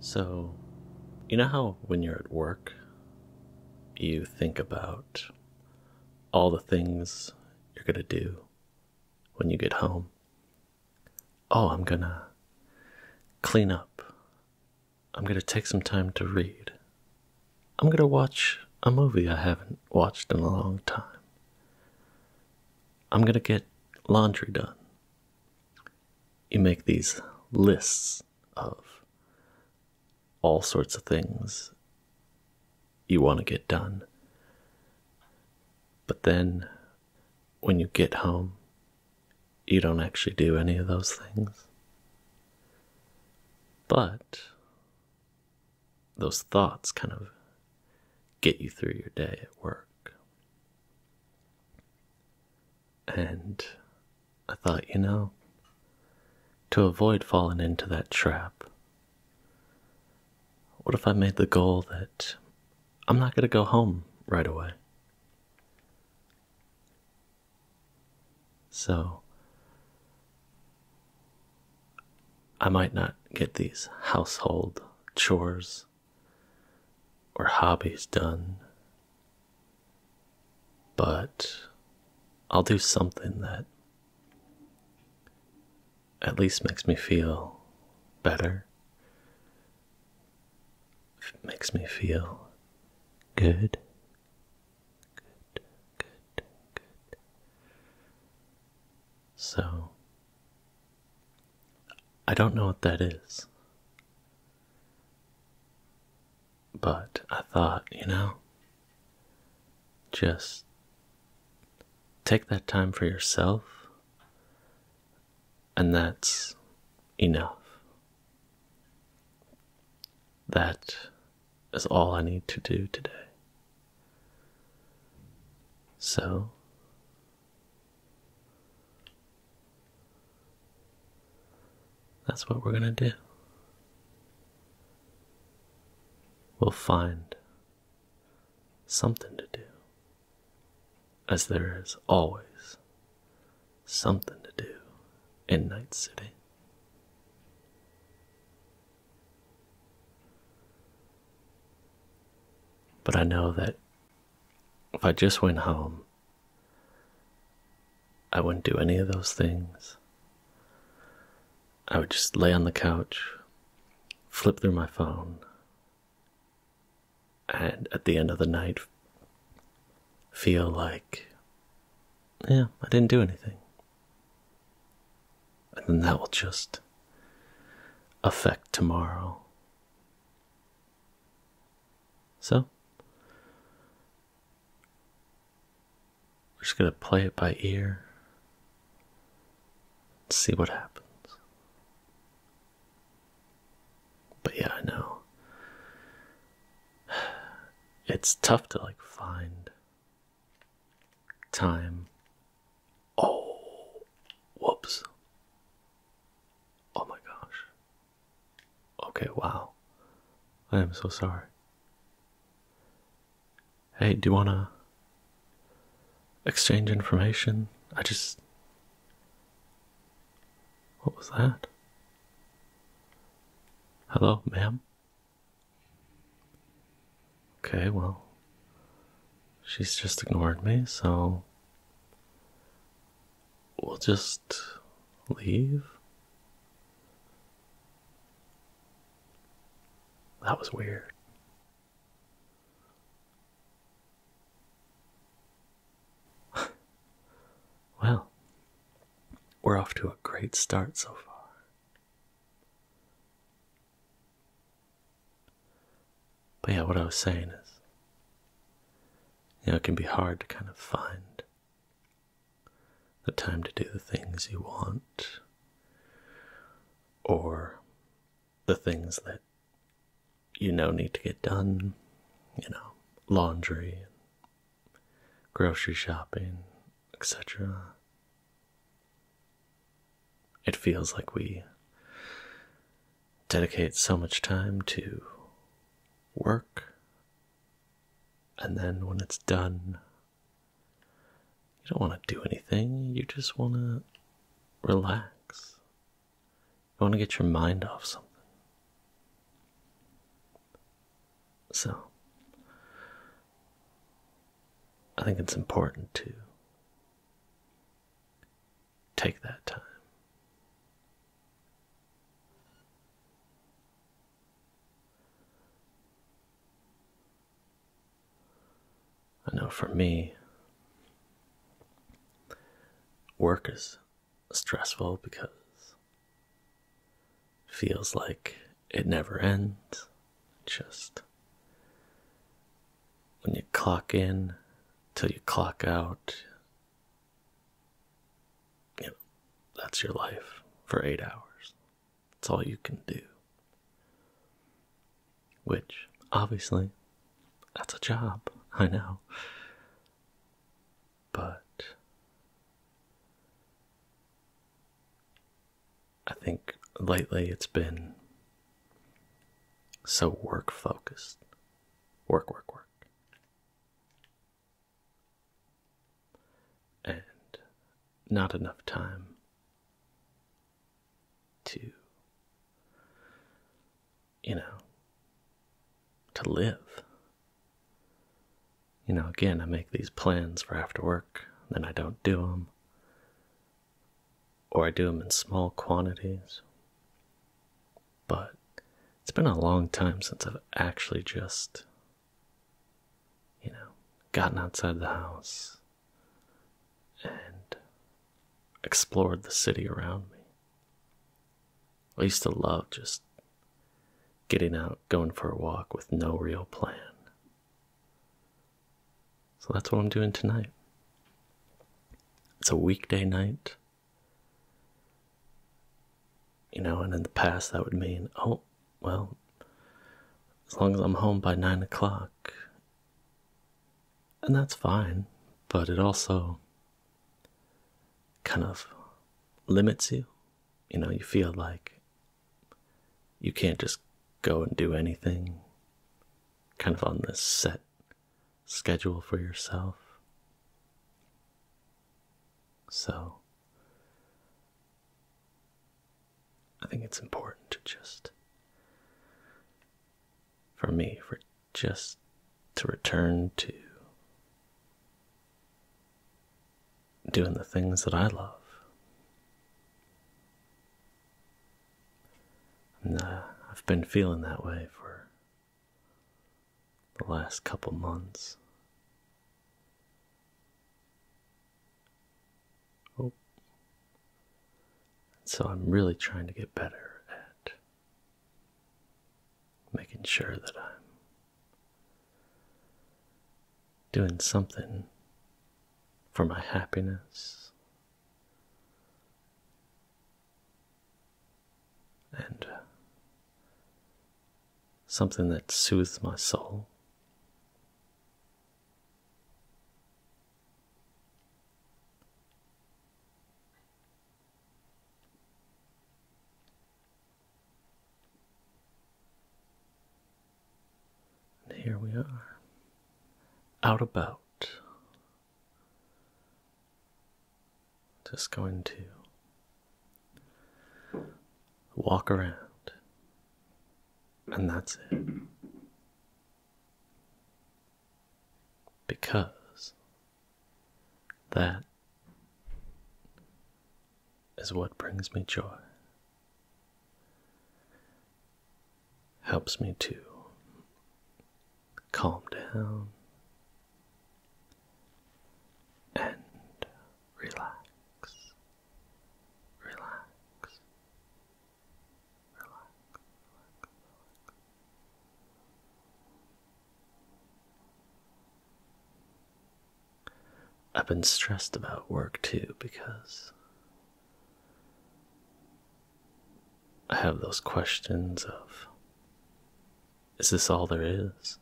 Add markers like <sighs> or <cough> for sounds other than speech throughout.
So, you know how when you're at work, you think about all the things you're going to do when you get home? Oh, I'm going to clean up. I'm going to take some time to read. I'm going to watch a movie I haven't watched in a long time. I'm going to get laundry done. You make these lists of all sorts of things you want to get done. But then when you get home, you don't actually do any of those things. But those thoughts kind of get you through your day at work. And I thought, you know, to avoid falling into that trap, what if I made the goal that I'm not going to go home right away? So I might not get these household chores or hobbies done, but I'll do something that at least makes me feel better. makes me feel good. Good, good, good. So I don't know what that is. But I thought, you know, just take that time for yourself, and that's enough. That is all I need to do today. So, that's what we're going to do. We'll find something to do, as there is always something to do in Night City. But I know that if I just went home, I wouldn't do any of those things. I would just lay on the couch, flip through my phone, and at the end of the night, feel like, yeah, I didn't do anything and then that will just affect tomorrow. So, we're just going to play it by ear see what happens. But yeah, I know. <sighs> It's tough to like find time Oh, whoops. Oh my gosh. Okay, wow. I am so sorry. Hey, do you want to exchange information? I just. What was that? Hello, ma'am? Okay, well, she's just ignored me, so we'll just leave. That was weird. <laughs> well, we're off to a great start so far. But yeah, what I was saying is, you know, it can be hard to kind of find the time to do the things you want or the things that you know need to get done, you know, laundry, grocery shopping, etc. It feels like we dedicate so much time to work, and then when it's done, you don't want to do anything, you just want to relax. You want to get your mind off something. So, I think it's important to Take that time. I know for me, work is stressful because feels like it never ends. just when you clock in till you clock out, you know, that's your life for eight hours. That's all you can do. Which, obviously, that's a job, I know. But I think lately it's been so work focused. Work, work, work. And not enough time to, you know, to live. You know, again, I make these plans for after work, then I don't do them or I do them in small quantities. But it's been a long time since I've actually just, you know, gotten outside the house and explored the city around me. I used to love just getting out, going for a walk with no real plan. So that's what I'm doing tonight. It's a weekday night. You know, and in the past that would mean, oh, well, as long as I'm home by nine o'clock. And that's fine, but it also kind of limits you. You know, you feel like you can't just go and do anything kind of on this set schedule for yourself. So, I think it's important to just, for me, for just to return to doing the things that I love. Nah, I've been feeling that way for the last couple months. Oh. So I'm really trying to get better at making sure that I'm doing something for my happiness and uh, something that soothes my soul. And here we are, out about. Just going to walk around, and that's it. Because that is what brings me joy helps me to calm down and relax, relax, relax, I've been stressed about work too because I have those questions of is this all there is?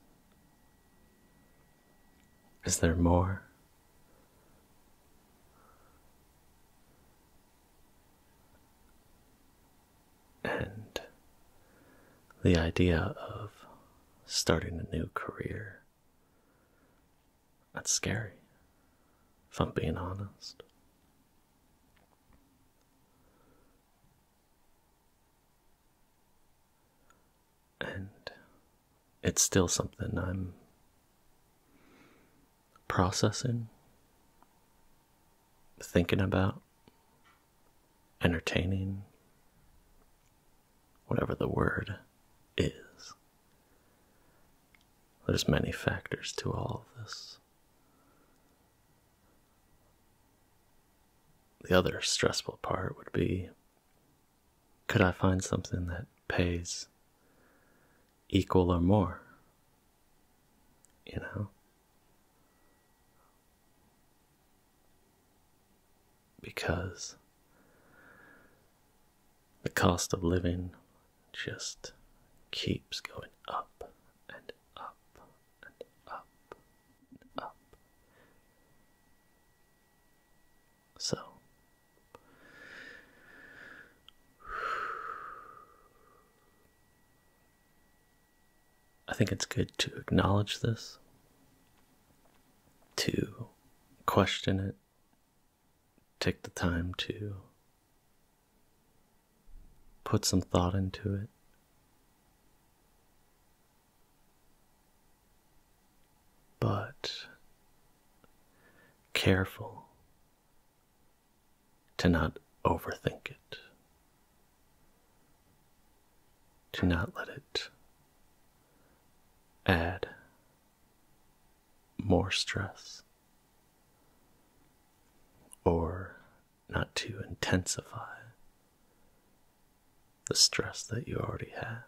Is there more? And the idea of starting a new career that's scary, if I'm being honest. And it's still something I'm processing, thinking about, entertaining, whatever the word is. There's many factors to all of this. The other stressful part would be could I find something that pays equal or more? You know? Because the cost of living just keeps going up and up and up up. So, I think it's good to acknowledge this, to question it, take the time to put some thought into it. But careful to not overthink it, to not let it add more stress or not to intensify the stress that you already have.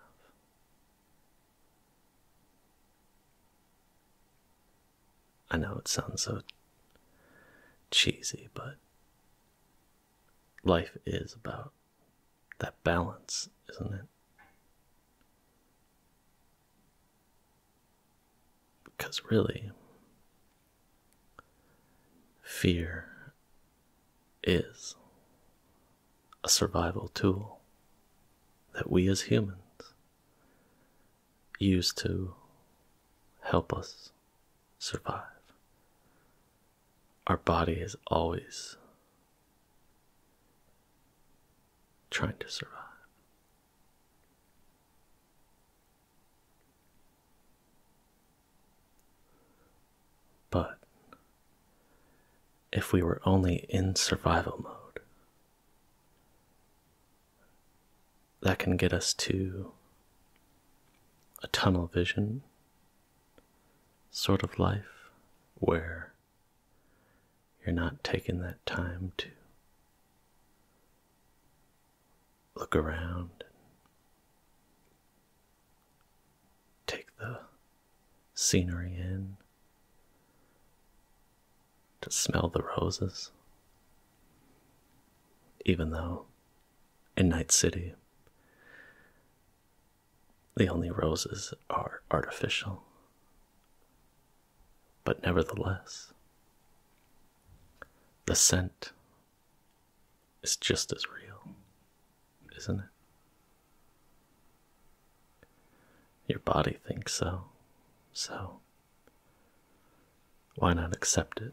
I know it sounds so cheesy, but life is about that balance, isn't it? Because really, fear is a survival tool that we as humans use to help us survive. Our body is always trying to survive. But if we were only in survival mode, that can get us to a tunnel vision sort of life where you're not taking that time to look around take the scenery in, to smell the roses, even though in Night City the only roses are artificial but nevertheless, the scent is just as real, isn't it? Your body thinks so, so why not accept it?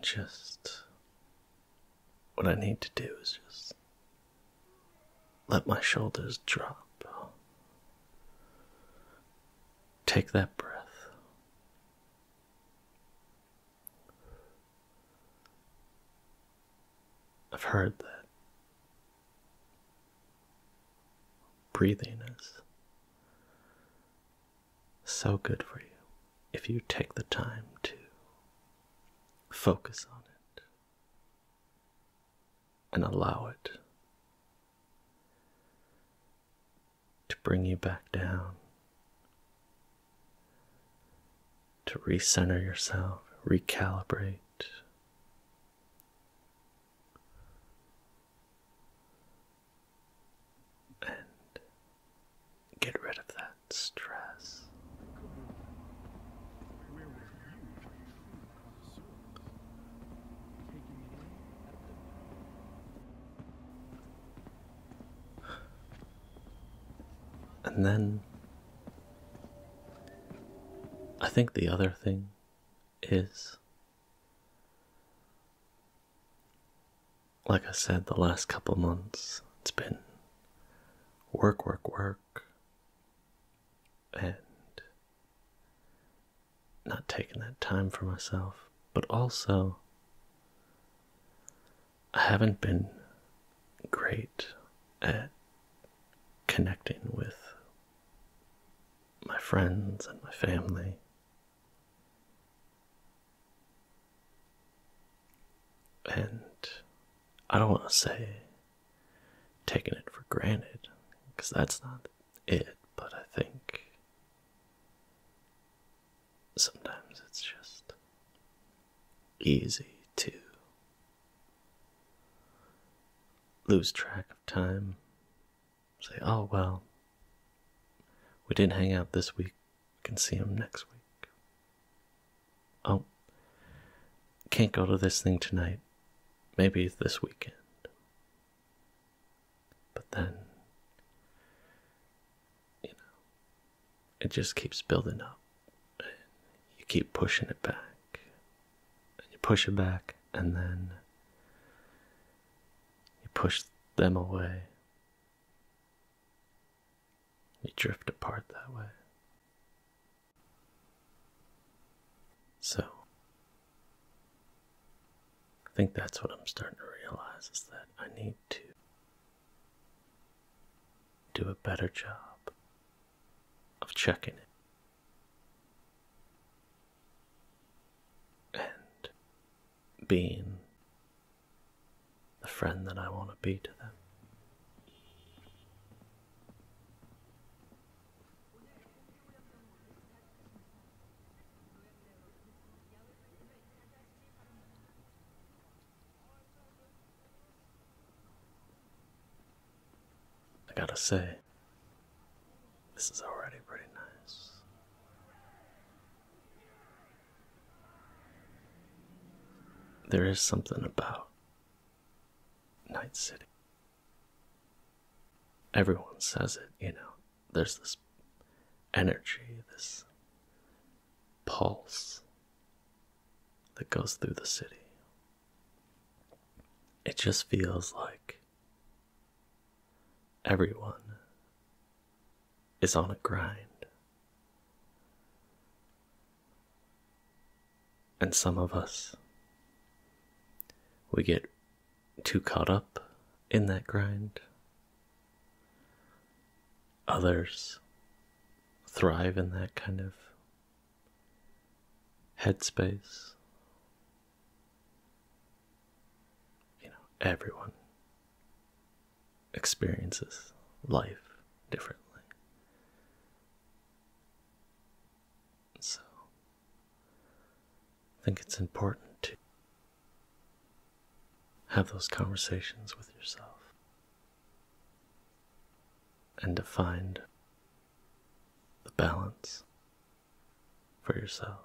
Just what I need to do is just let my shoulders drop. Take that breath. I've heard that Breathing is so good for you if you take the time to focus on it and allow it to bring you back down, to recenter yourself, recalibrate and get rid of that stress. And then I think the other thing is like I said, the last couple months, it's been work, work, work, and not taking that time for myself, but also I haven't been great at connecting with my friends and my family. And I don't want to say taking it for granted, because that's not it, but I think sometimes it's just easy to lose track of time say, oh, well, we didn't hang out this week. We can see him next week. Oh, can't go to this thing tonight. Maybe this weekend. But then, you know, it just keeps building up. you keep pushing it back. And you push it back, and then you push them away. You drift apart that way. So, I think that's what I'm starting to realize is that I need to do a better job of checking it and being the friend that I want to be to them. I gotta say, this is already pretty nice. There is something about Night City. Everyone says it, you know. There's this energy, this pulse that goes through the city. It just feels like Everyone is on a grind. And some of us, we get too caught up in that grind. Others thrive in that kind of headspace you know, everyone experiences life differently. So, I think it's important to have those conversations with yourself and to find the balance for yourself.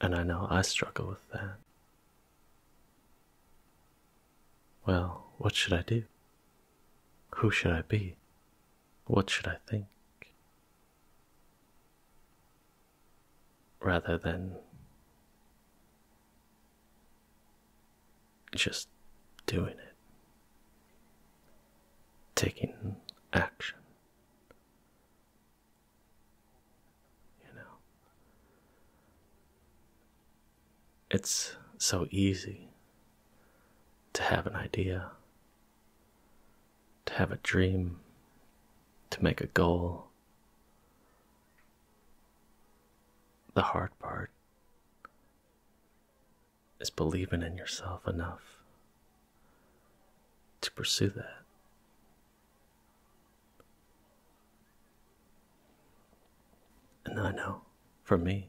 And I know I struggle with that. Well, what should I do? Who should I be? What should I think? Rather than just doing it, taking action. You know, it's so easy to have an idea, to have a dream, to make a goal. The hard part is believing in yourself enough to pursue that. And I know for me,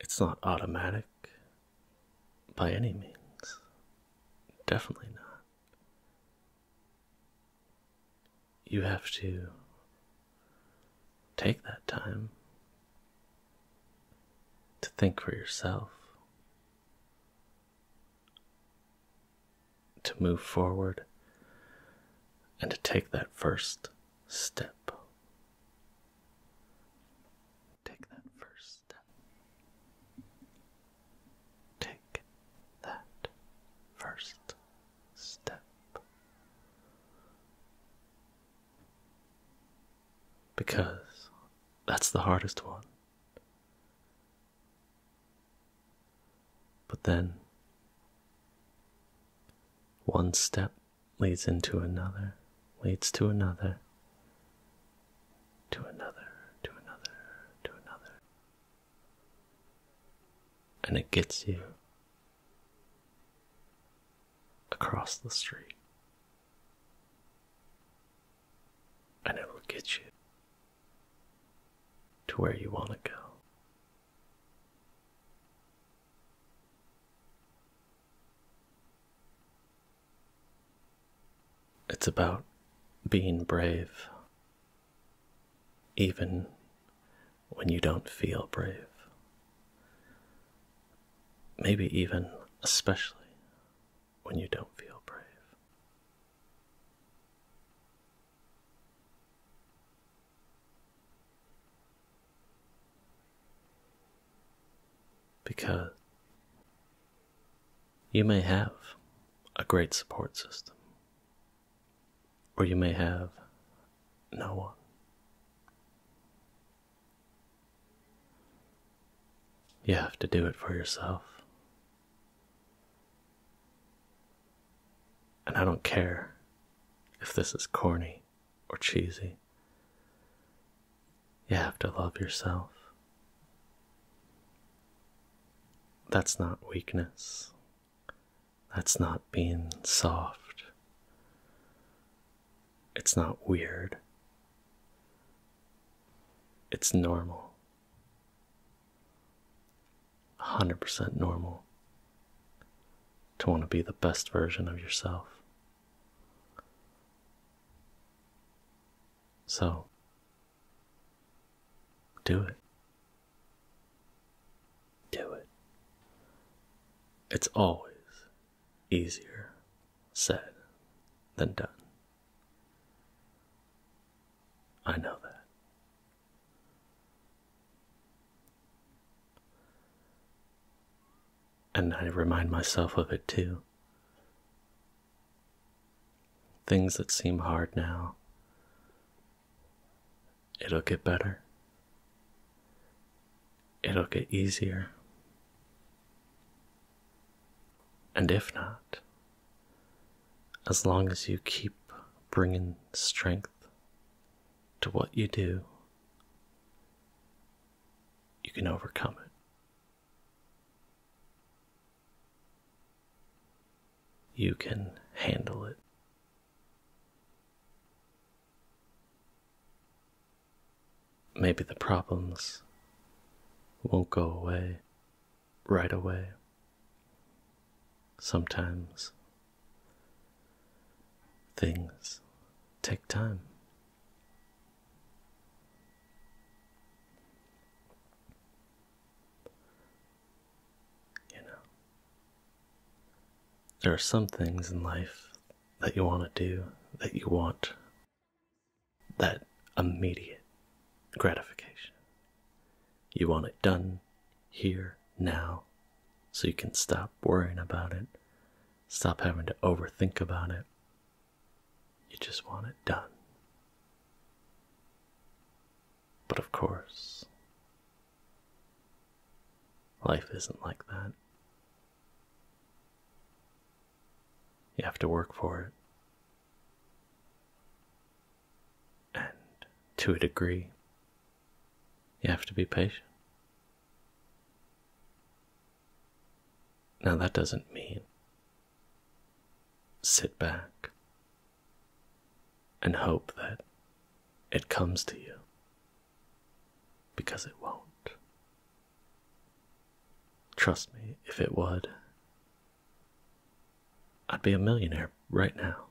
it's not automatic by any means. Definitely not you have to take that time to think for yourself, to move forward, and to take that first step. Take that first step. Take that first step. Because that's the hardest one. But then one step leads into another, leads to another, to another, to another, to another. And it gets you across the street. And it will get you to where you want to go. It's about being brave, even when you don't feel brave. Maybe even especially when you don't feel brave. Because you may have a great support system, or you may have no one. You have to do it for yourself. And I don't care if this is corny or cheesy. You have to love yourself. That's not weakness, that's not being soft. It's not weird. It's normal. 100% normal to want to be the best version of yourself. So, do it. Do it. It's always easier said than done. I know that. And I remind myself of it too. Things that seem hard now It'll get better. It'll get easier. And if not, as long as you keep bringing strength to what you do, you can overcome it. You can handle it. Maybe the problems won't go away right away. Sometimes things take time. You know, there are some things in life that you want to do, that you want that immediate gratification. You want it done here, now, so you can stop worrying about it, stop having to overthink about it. You just want it done. But of course, Life isn't like that. You have to work for it. And to a degree, you have to be patient. Now, that doesn't mean sit back and hope that it comes to you. Because it won't. Trust me, if it would, I'd be a millionaire right now.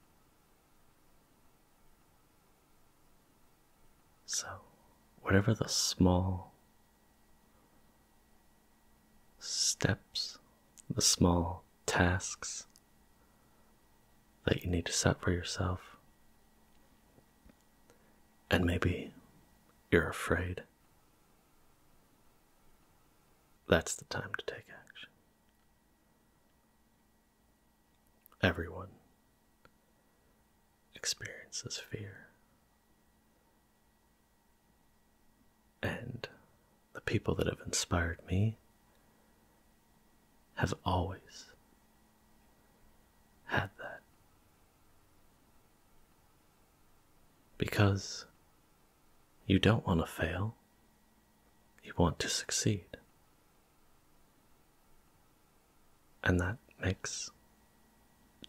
So, whatever the small steps, the small tasks, that you need to set for yourself. And maybe you're afraid. That's the time to take action. Everyone experiences fear. And the people that have inspired me have always had that. Because you don't want to fail, you want to succeed. And that makes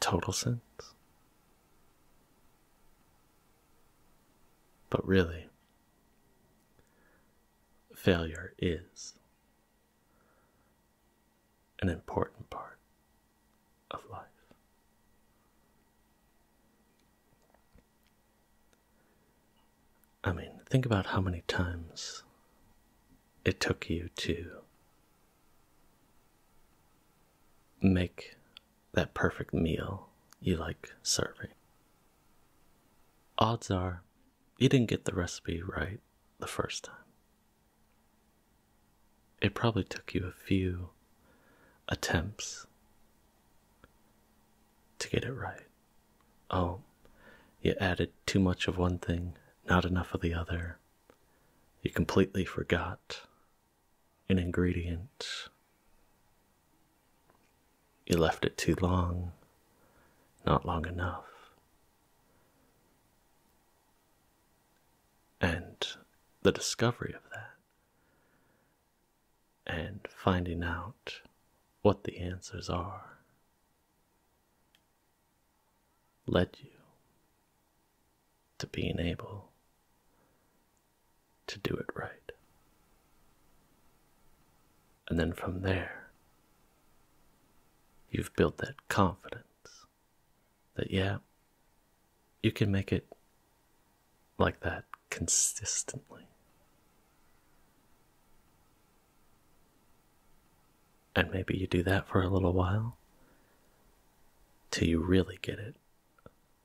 total sense. But really, failure is an important part of life. I mean, think about how many times it took you to make that perfect meal you like serving. Odds are you didn't get the recipe right the first time. It probably took you a few attempts to get it right. Oh, you added too much of one thing, not enough of the other. You completely forgot an ingredient. You left it too long, not long enough. And the discovery of that, and finding out what the answers are, led you to being able to do it right. And then from there, you've built that confidence that, yeah, you can make it like that consistently. And maybe you do that for a little while till you really get it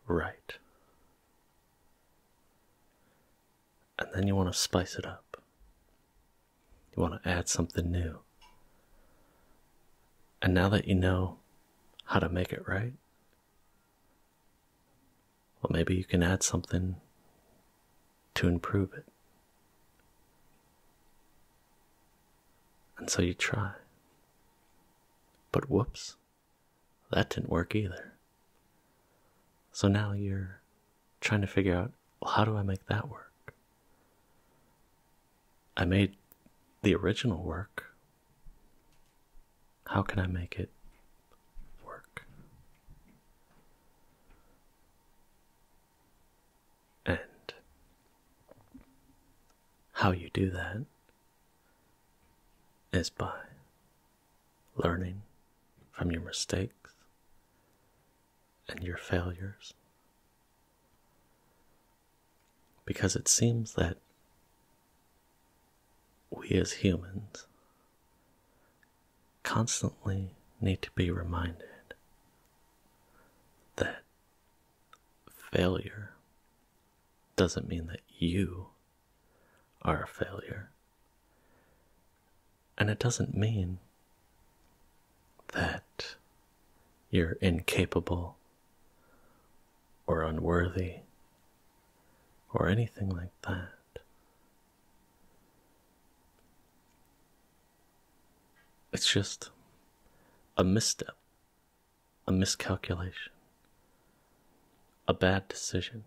right and then you want to spice it up. You want to add something new. And now that you know how to make it right, well, maybe you can add something to improve it. And so you try. But whoops, that didn't work either. So now you're trying to figure out how do I make that work? I made the original work. How can I make it work? And how you do that is by learning from your mistakes and your failures. Because it seems that we as humans constantly need to be reminded that failure doesn't mean that you are a failure. And it doesn't mean that you're incapable or unworthy or anything like that. It's just a misstep, a miscalculation, a bad decision,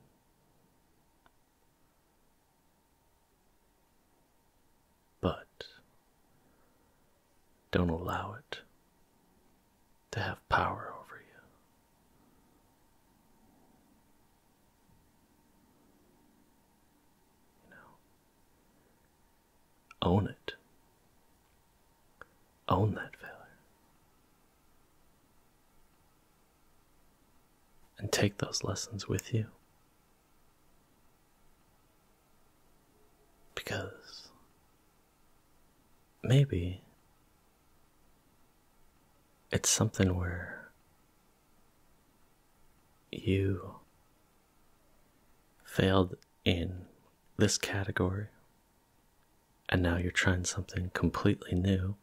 but don't allow it to have power over you. own it, own that failure and take those lessons with you. Because maybe it's something where you failed in this category and now you're trying something completely new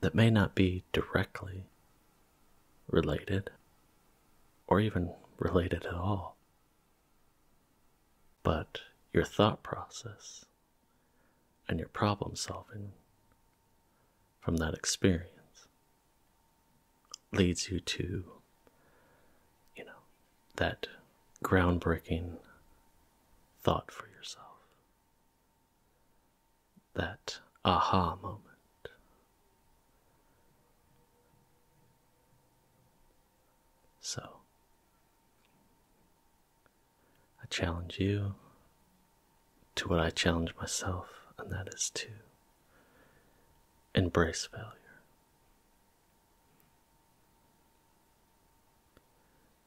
that may not be directly related or even related at all. But your thought process and your problem solving from that experience leads you to, you know, that groundbreaking thought for yourself that aha moment. So, I challenge you to what I challenge myself, and that is to embrace failure.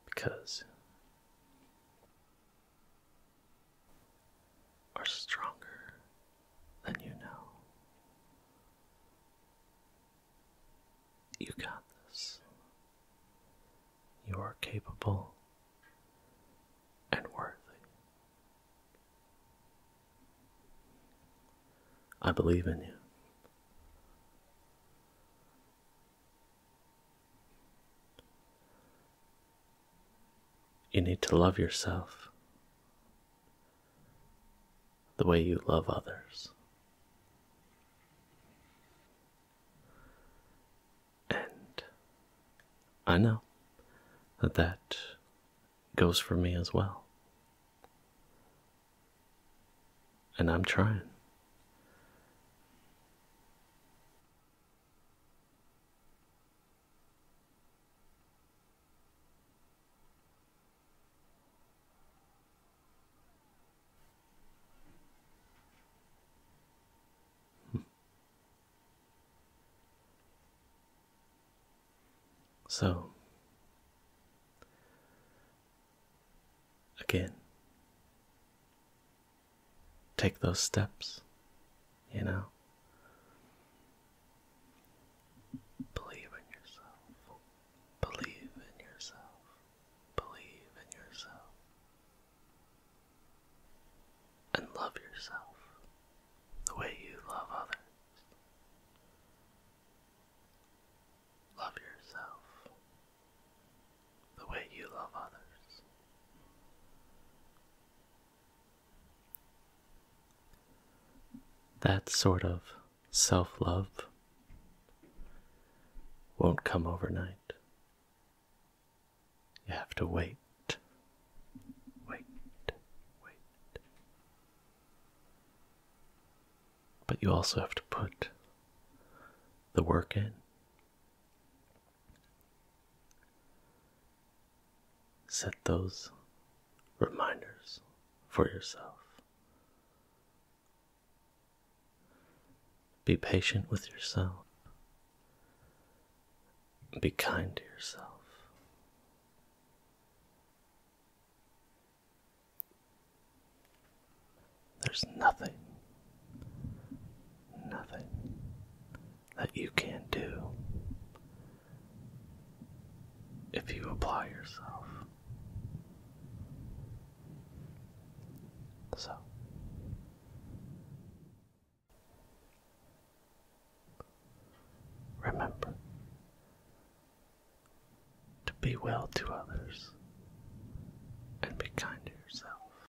Because are stronger than you know. You got this. You are capable and worthy. I believe in you. You need to love yourself the way you love others. And I know that that goes for me as well. And I'm trying. Hmm. So, again, take those steps, you know? Believe in yourself. Believe in yourself. Believe in yourself. And love yourself the way you love others. Love yourself the way you love others. That sort of self love won't come overnight. You have to wait, wait, wait. But you also have to put the work in. Set those reminders for yourself. Be patient with yourself. Be kind to yourself. There's nothing nothing that you can do if you apply yourself. So. Remember to be well to others and be kind to yourself.